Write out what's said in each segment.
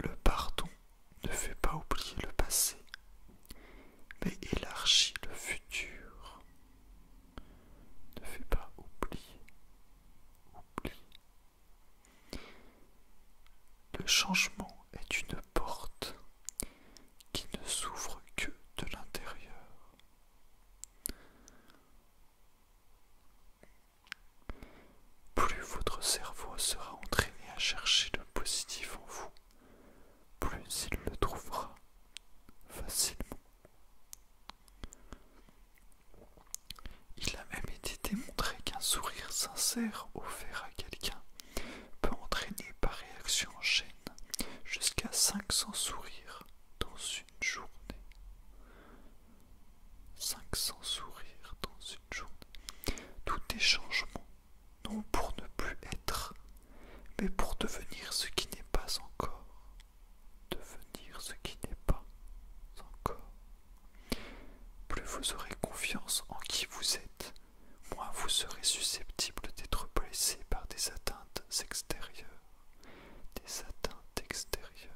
Le pardon ne fait pas oublier le passé, mais élargit le futur. Ne fait pas oublier, oublier. Le changement est une porte qui ne s'ouvre que de l'intérieur. Plus votre cerveau sera entraîné à chercher le positif en vous, plus il le trouvera facilement. Il a même été démontré qu'un sourire sincère offert à quelqu'un peut entraîner par réaction en chaîne jusqu'à 500 sourires dans une journée. 500 sourires dans une journée. Tout est changement, non pour ne plus être, mais pour devenir ce qui n'est pas encore. Devenir ce qui n'est pas encore. Plus vous aurez confiance en qui vous êtes, moins vous serez susceptible d'être blessé par des atteintes extérieures. Des atteintes extérieures.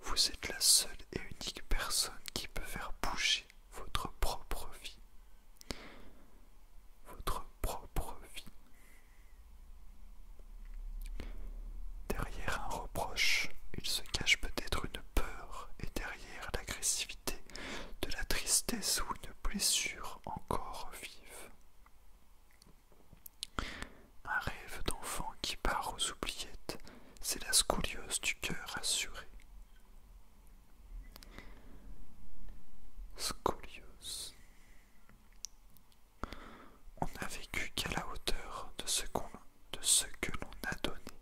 Vous êtes la seule et unique personne qui peut faire bouger votre propre vie. Votre propre vie. Derrière un reproche, il se cache peut-être une peur et derrière l'agressivité de la tristesse ou une blessure encore vive. Un rêve d'enfant qui part aux oubliettes, c'est la scoliose du cœur assuré. Scoliose. On n'a vécu qu'à la hauteur de ce, de ce que l'on a donné.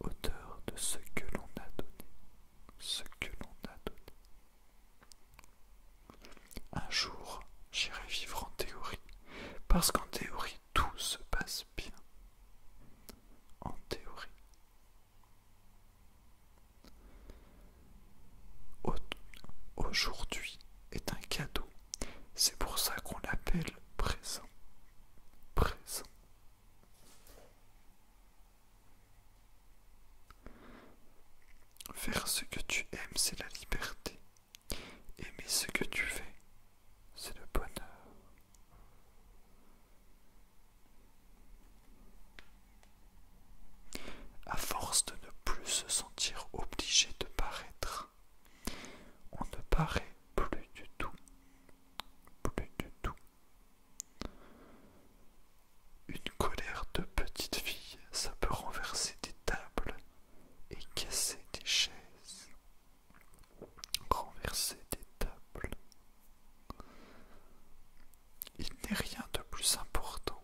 Hauteur de ce que l'on a donné. Ce que l'on a donné. Un jour, j'irai vivre en théorie, parce qu'en théorie, tout se passe bien. En théorie. Aujourd'hui est un cadeau. C'est pour ça qu'on l'appelle présent. Présent. Faire ce que tu aimes, c'est la liberté. Aimer ce que tu fais, c'est le bonheur. À force de ne plus se sentir obligé de paraître, on ne paraît plus du tout, plus du tout. Une colère de petite fille, ça peut renverser des tables et casser des chaises. Renverser des tables. Il n'est rien de plus important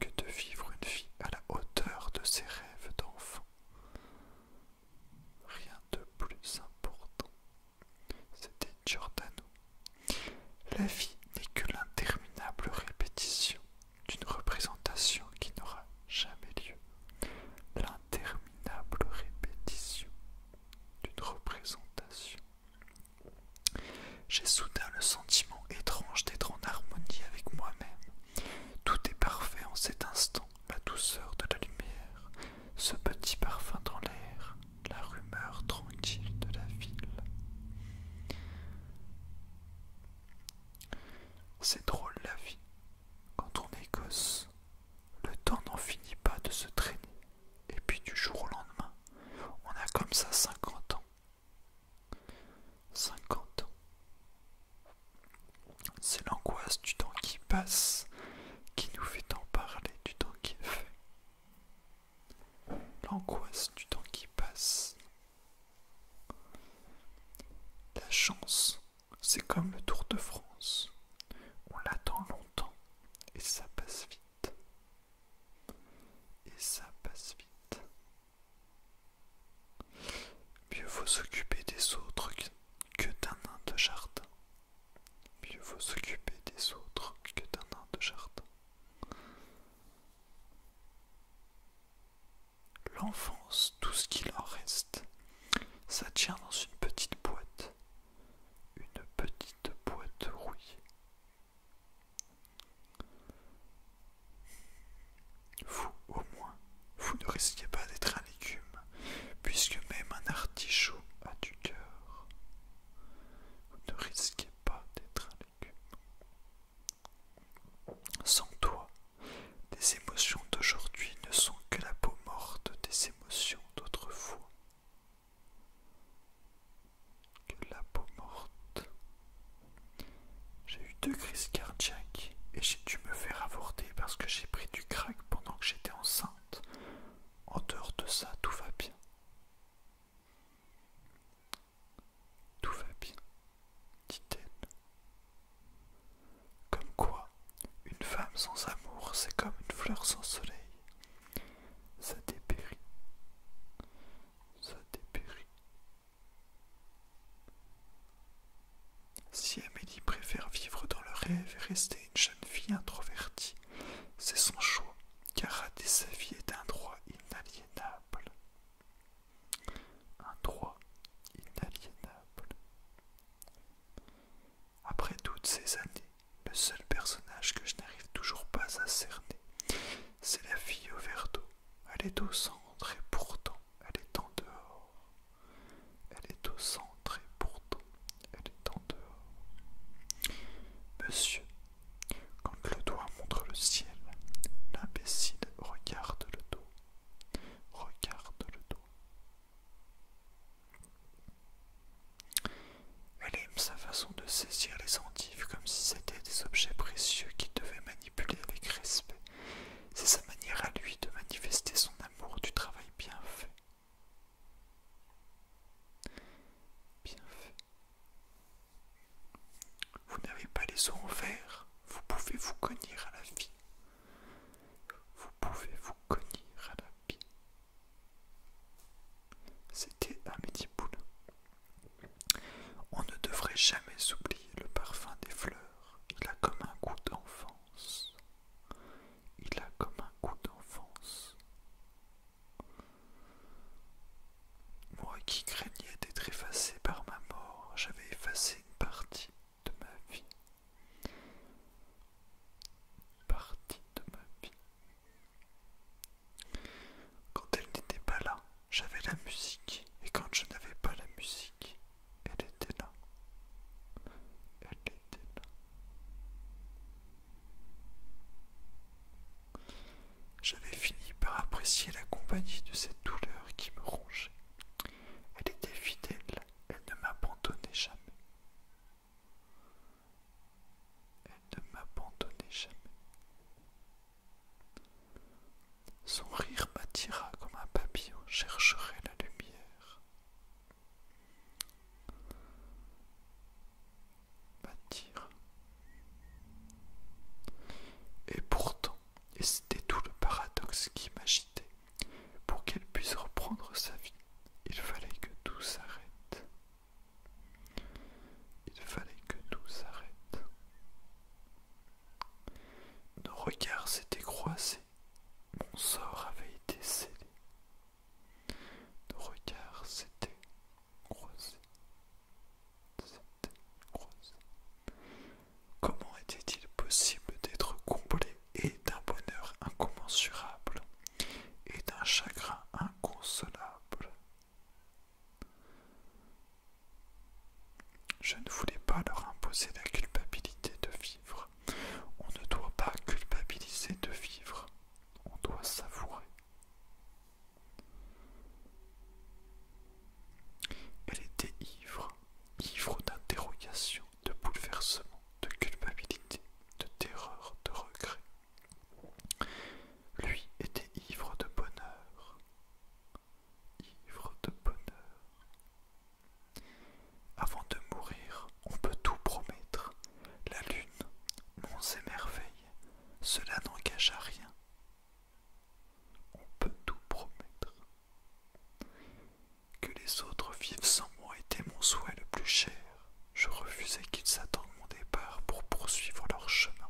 que de vivre une vie à la hauteur de ses rêves d'enfant. Rien de plus important. C'était Giordano. La vie n'est que l'interminable répétition d'une représentation qui n'aura jamais lieu, l'interminable répétition d'une représentation. J'ai soudain le sentiment étrange d'être en harmonie avec moi-même. Tout est parfait en cet instant, la douceur de la lumière, ce petit parfum dans l'air, la rumeur tranquille de la ville. C'est drôle la vie. Quand on est le temps n'en finit pas de se traîner. Et puis du jour au lendemain, on a comme ça 50 ans. 50 ans. C'est l'angoisse du temps qui passe qui nous fait en parler du temps qui est fait. L'angoisse du temps qui passe la chance, c'est comme le Tour de France. On l'attend longtemps et ça passe vite. Et ça passe vite. Mieux vaut s'occuper des autres que d'un nain de jardin. Mieux vaut s'occuper des autres que d'un nain de jardin. L'enfance, tout ce qu'il en reste, ça tient dans une petite boîte, une petite boîte rouillée. Vous, au moins, vous ne risquez pas d'être un légume, puisque même un artichaut a du cœur. Vous ne risquez pas d'être un sans toi, tes émotions d'aujourd'hui ne sont que la peau morte des émotions d'autrefois. Que la peau morte. J'ai eu deux crises cardiaques et j'ai dû me faire avorter parce que j'ai pris du crack pendant que j'étais enceinte. En dehors de ça, tout va bien. Tout va bien, dit-elle. Comme quoi, une femme sans amour, c'est comme une fleur sans soleil. Ça dépérit. Ça dépérit. Si Amélie préfère vivre dans le rêve et rester une jeune fille introvertie, c'est son choix, car rater sa vie est un droit inaliénable. Un droit inaliénable. Après toutes ces années, le seul personnage que je n'arrive toujours pas à cerner, c'est la fille au verre d'eau. Elle est au centre et pourtant elle est en dehors. Elle est au centre et pourtant elle est en dehors. Monsieur, quand le doigt montre le ciel, l'imbécile regarde le dos. Regarde le dos. Elle aime sa façon de saisir les endives comme si c'était des objets précieux qu'il devait manipuler avec respect. C'est sa manière à lui de manifester son amour du travail bien fait. Bien fait. Vous n'avez pas les os en verre, vous pouvez vous cognir à la vie. Vous pouvez vous cognir à la vie. C'était métier Poulain. On ne devrait jamais oublier le parfum des fleurs. Il a comme un goût d'enfance. Il a comme un goût d'enfance. Moi qui craignais d'être effacé par ma mort, j'avais effacé une partie de ma vie. Partie de ma vie. Quand elle n'était pas là, j'avais la musique, et quand je n'avais pas la musique, elle était là. Elle était là. J'avais fini par apprécier la compagnie de cette douleur qui me rongeait. Elle était fidèle, elle ne m'abandonnait jamais. Elle ne m'abandonnait jamais. Son rire m'attira comme un papillon chercherait la lumière. M'attira. Et pourtant, et c'était tout le paradoxe qui m'agitait. Pour qu'elle puisse reprendre sa vie, il fallait que tout s'arrête. Il fallait que tout s'arrête. Nos regards s'étaient croisés, mon sort avait été scellé. Nos regards s'étaient croisés, Comment était-il possible d'être comblé et d'un bonheur incommensurable et d'un chagrin inconsolable Je ne voulais pas leur imposer la culpabilité de vivre. On ne doit pas culpabiliser de vivre, on doit savourer. Elle était ivre, ivre d'interrogation, de bouleversements, de culpabilité, de terreur, de regret. Lui était ivre de bonheur, ivre de bonheur. Avant de mourir, on peut tout promettre. La lune, monts et cela n'engage à rien. On peut tout promettre. Que les autres vivent sans moi était mon souhait le plus cher. Je refusais qu'ils attendent mon départ pour poursuivre leur chemin.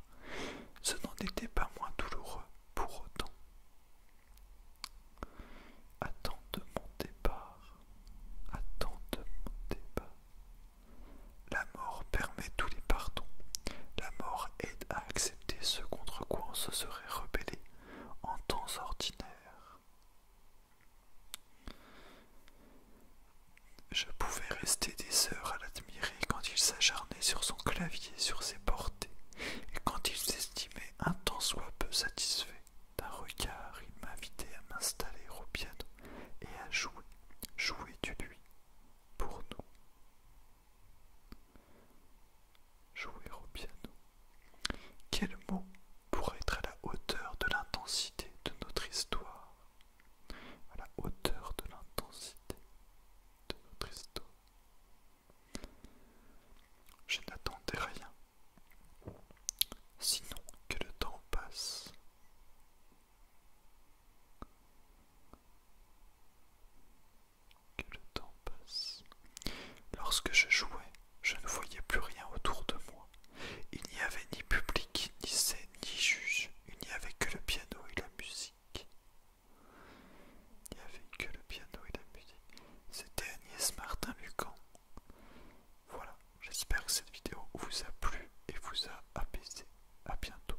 Ce n'en était pas moins douloureux pour autant. Attends mon départ, attends mon départ. La mort permet tous les pardons. La mort aide à accepter ce contre quoi on se serait rebellé en temps ordinaire. Je pouvais rester des heures à l'admirer quand il s'acharnait sur son clavier, sur ses portées, et quand il s'estimait un temps soit peu satisfait d'un regard, il m'invitait à m'installer au piano et à jouer, jouer du lui, pour nous. Jouer au piano. Quel mot pourrait être à la hauteur de l'intensité de notre histoire À la hauteur de l'intensité de notre histoire. Je n'attendais rien, sinon que le temps passe que le temps passe. Lorsque je jouais, je ne voyais plus rien autour de moi. Il n'y avait ni public, ni scène, ni juge. Il n'y avait que le piano et la musique. Il n'y avait que le piano et la musique. C'était Agnès Martin-Lucan. Voilà, j'espère que cette vidéo vous a plu et vous a apaisé. A bientôt.